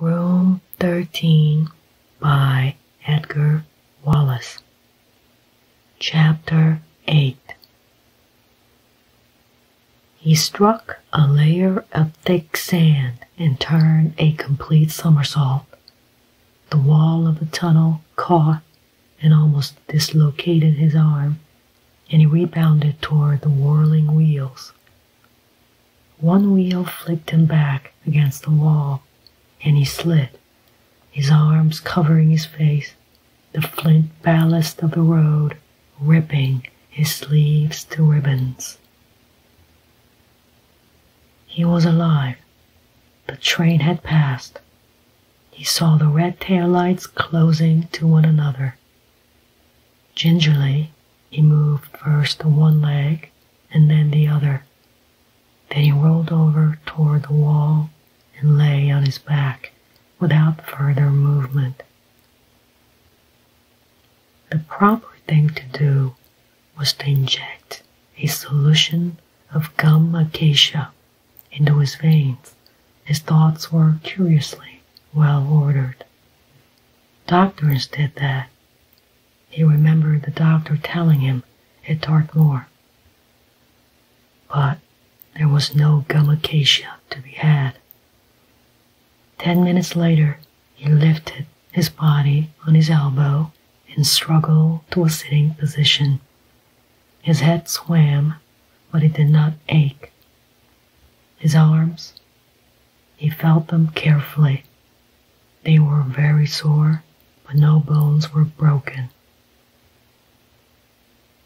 Room 13 by Edgar Wallace. Chapter 8 He struck a layer of thick sand and turned a complete somersault. The wall of the tunnel caught and almost dislocated his arm, and he rebounded toward the whirling wheels one wheel flicked him back against the wall, and he slid, his arms covering his face, the flint ballast of the road ripping his sleeves to ribbons. He was alive. The train had passed. He saw the red tail lights closing to one another. Gingerly, he moved first one leg and then the other. Then he rolled over toward the wall and lay on his back without further movement. The proper thing to do was to inject a solution of gum acacia into his veins. His thoughts were curiously well ordered. Doctors did that. He remembered the doctor telling him at Dartmoor. But there was no gummicacia to be had. Ten minutes later, he lifted his body on his elbow and struggled to a sitting position. His head swam, but it did not ache. His arms he felt them carefully. They were very sore, but no bones were broken.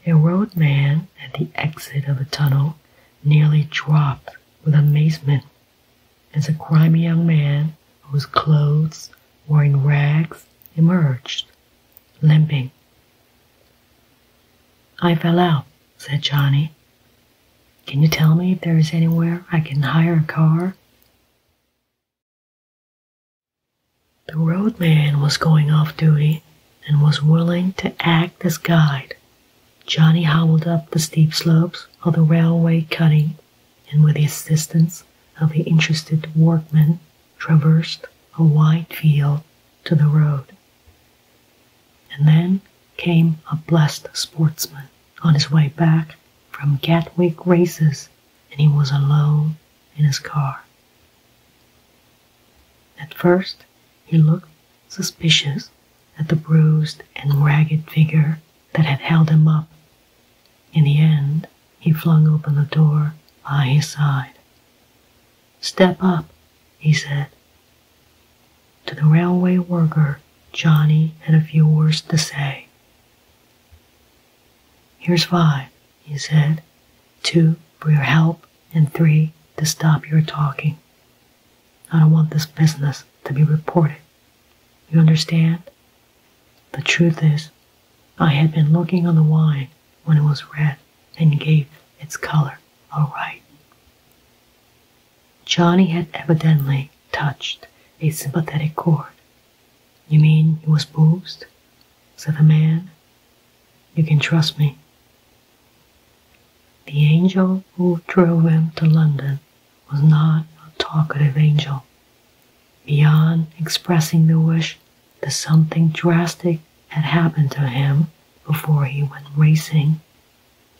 A roadman at the exit of a tunnel nearly dropped with amazement as a grimy young man whose clothes were in rags emerged, limping. I fell out, said Johnny, can you tell me if there is anywhere I can hire a car? The roadman was going off duty and was willing to act as guide. Johnny hobbled up the steep slopes of the railway cutting and, with the assistance of the interested workmen, traversed a wide field to the road. And then came a blessed sportsman on his way back from Gatwick races, and he was alone in his car. At first, he looked suspicious at the bruised and ragged figure that had held him up. In the end, he flung open the door by his side. Step up, he said, to the railway worker, Johnny had a few words to say. Here's five, he said. Two for your help, and three to stop your talking. I don't want this business to be reported. You understand? The truth is, I had been looking on the wine when it was red and gave its color a right. Johnny had evidently touched a sympathetic chord. You mean he was boozed? said the man. You can trust me. The angel who drove him to London was not a talkative angel. Beyond expressing the wish that something drastic had happened to him before he went racing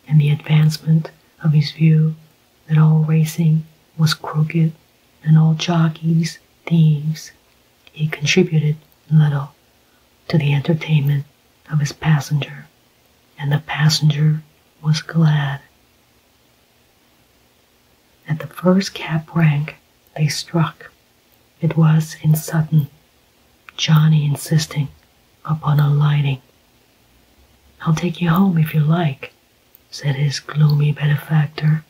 and the advancement of his view that all racing was crooked and all jockeys thieves, he contributed little to the entertainment of his passenger, and the passenger was glad. At the first cab rank they struck, it was in Sutton Johnny insisting upon alighting. I'll take you home if you like, said his gloomy benefactor.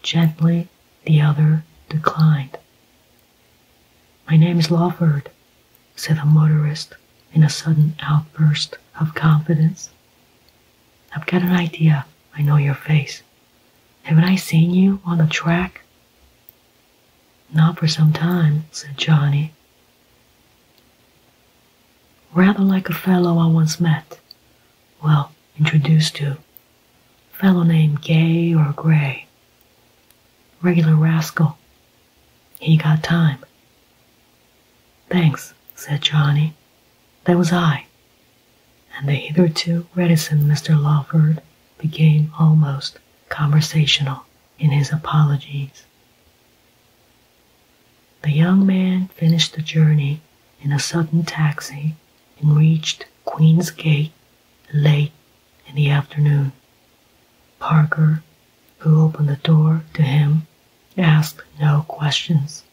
Gently, the other declined. My name is Lawford, said the motorist in a sudden outburst of confidence. I've got an idea. I know your face. Haven't I seen you on the track? Not for some time, said Johnny. Rather like a fellow I once met, well, introduced to. Fellow named Gay or Gray. Regular rascal. He got time. Thanks, said Johnny. That was I. And the hitherto reticent Mr. Lawford became almost conversational in his apologies. The young man finished the journey in a sudden taxi and reached Queen's Gate late in the afternoon. Parker, who opened the door to him, asked no questions.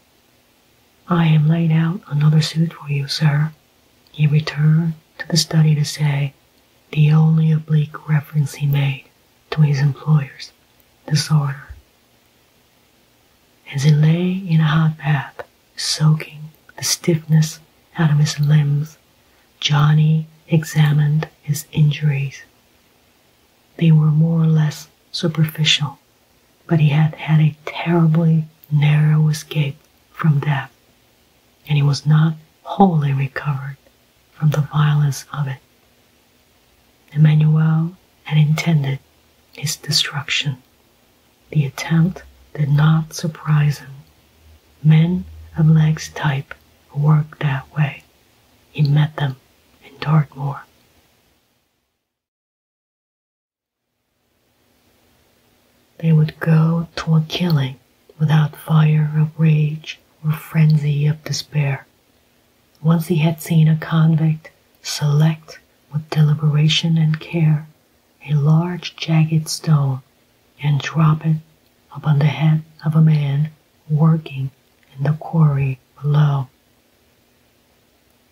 I have laid out another suit for you, sir, he returned to the study to say the only oblique reference he made to his employer's disorder. As he lay in a hot bath, soaking the stiffness out of his limbs, Johnny examined his injuries. They were more or less superficial, but he had had a terribly narrow escape from death, and he was not wholly recovered from the violence of it. Emmanuel had intended his destruction. The attempt did not surprise him. Men of Leg's type worked that way. He met them in Dartmoor. They would go toward killing without fire of rage or frenzy of despair. Once he had seen a convict select with deliberation and care a large jagged stone and drop it upon the head of a man working in the quarry below.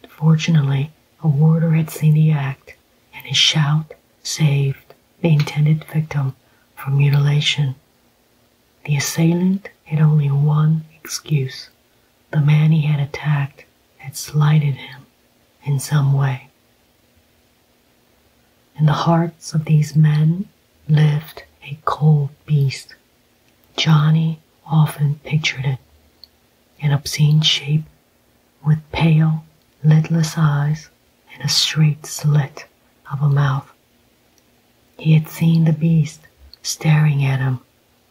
Fortunately, a warder had seen the act, and his shout saved the intended victim from mutilation the assailant had only one excuse. The man he had attacked had slighted him in some way. In the hearts of these men lived a cold beast. Johnny often pictured it an obscene shape with pale, lidless eyes and a straight slit of a mouth. He had seen the beast staring at him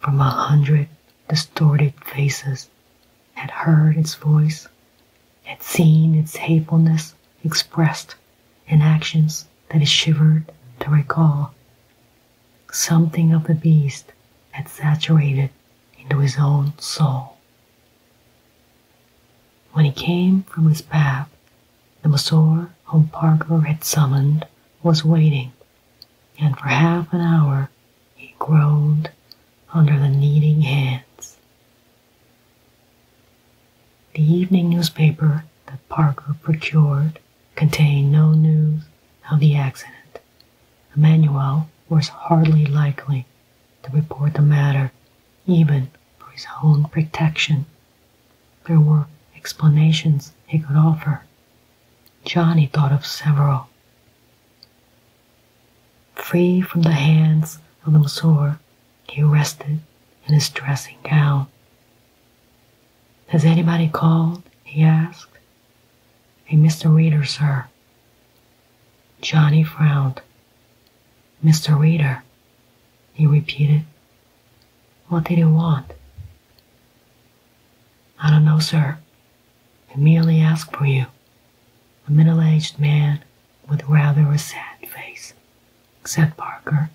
from a hundred distorted faces, had heard its voice, had seen its hatefulness expressed in actions that he shivered to recall. Something of the beast had saturated into his own soul. When he came from his bath, the masseur whom Parker had summoned was waiting, and for half an hour he groaned under the kneading hands. The evening newspaper that Parker procured contained no news of the accident. Emmanuel was hardly likely to report the matter, even for his own protection there were explanations he could offer. Johnny thought of several. Free from the hands of the masseur, he rested in his dressing gown. Has anybody called? he asked. A Mr. Reader, sir. Johnny frowned. Mr. Reader, he repeated. What did he want? I don't know, sir. He merely asked for you. A middle aged man with rather a sad face, said Parker.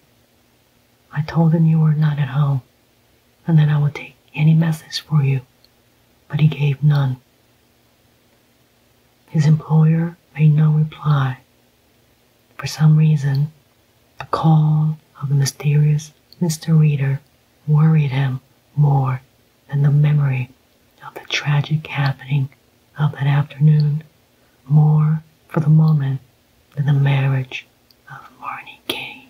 I told him you were not at home, and that I would take any message for you, but he gave none. His employer made no reply for some reason, the call of the mysterious Mr. Reader worried him more than the memory of the tragic happening of that afternoon, more for the moment than the marriage of Marnie Kay.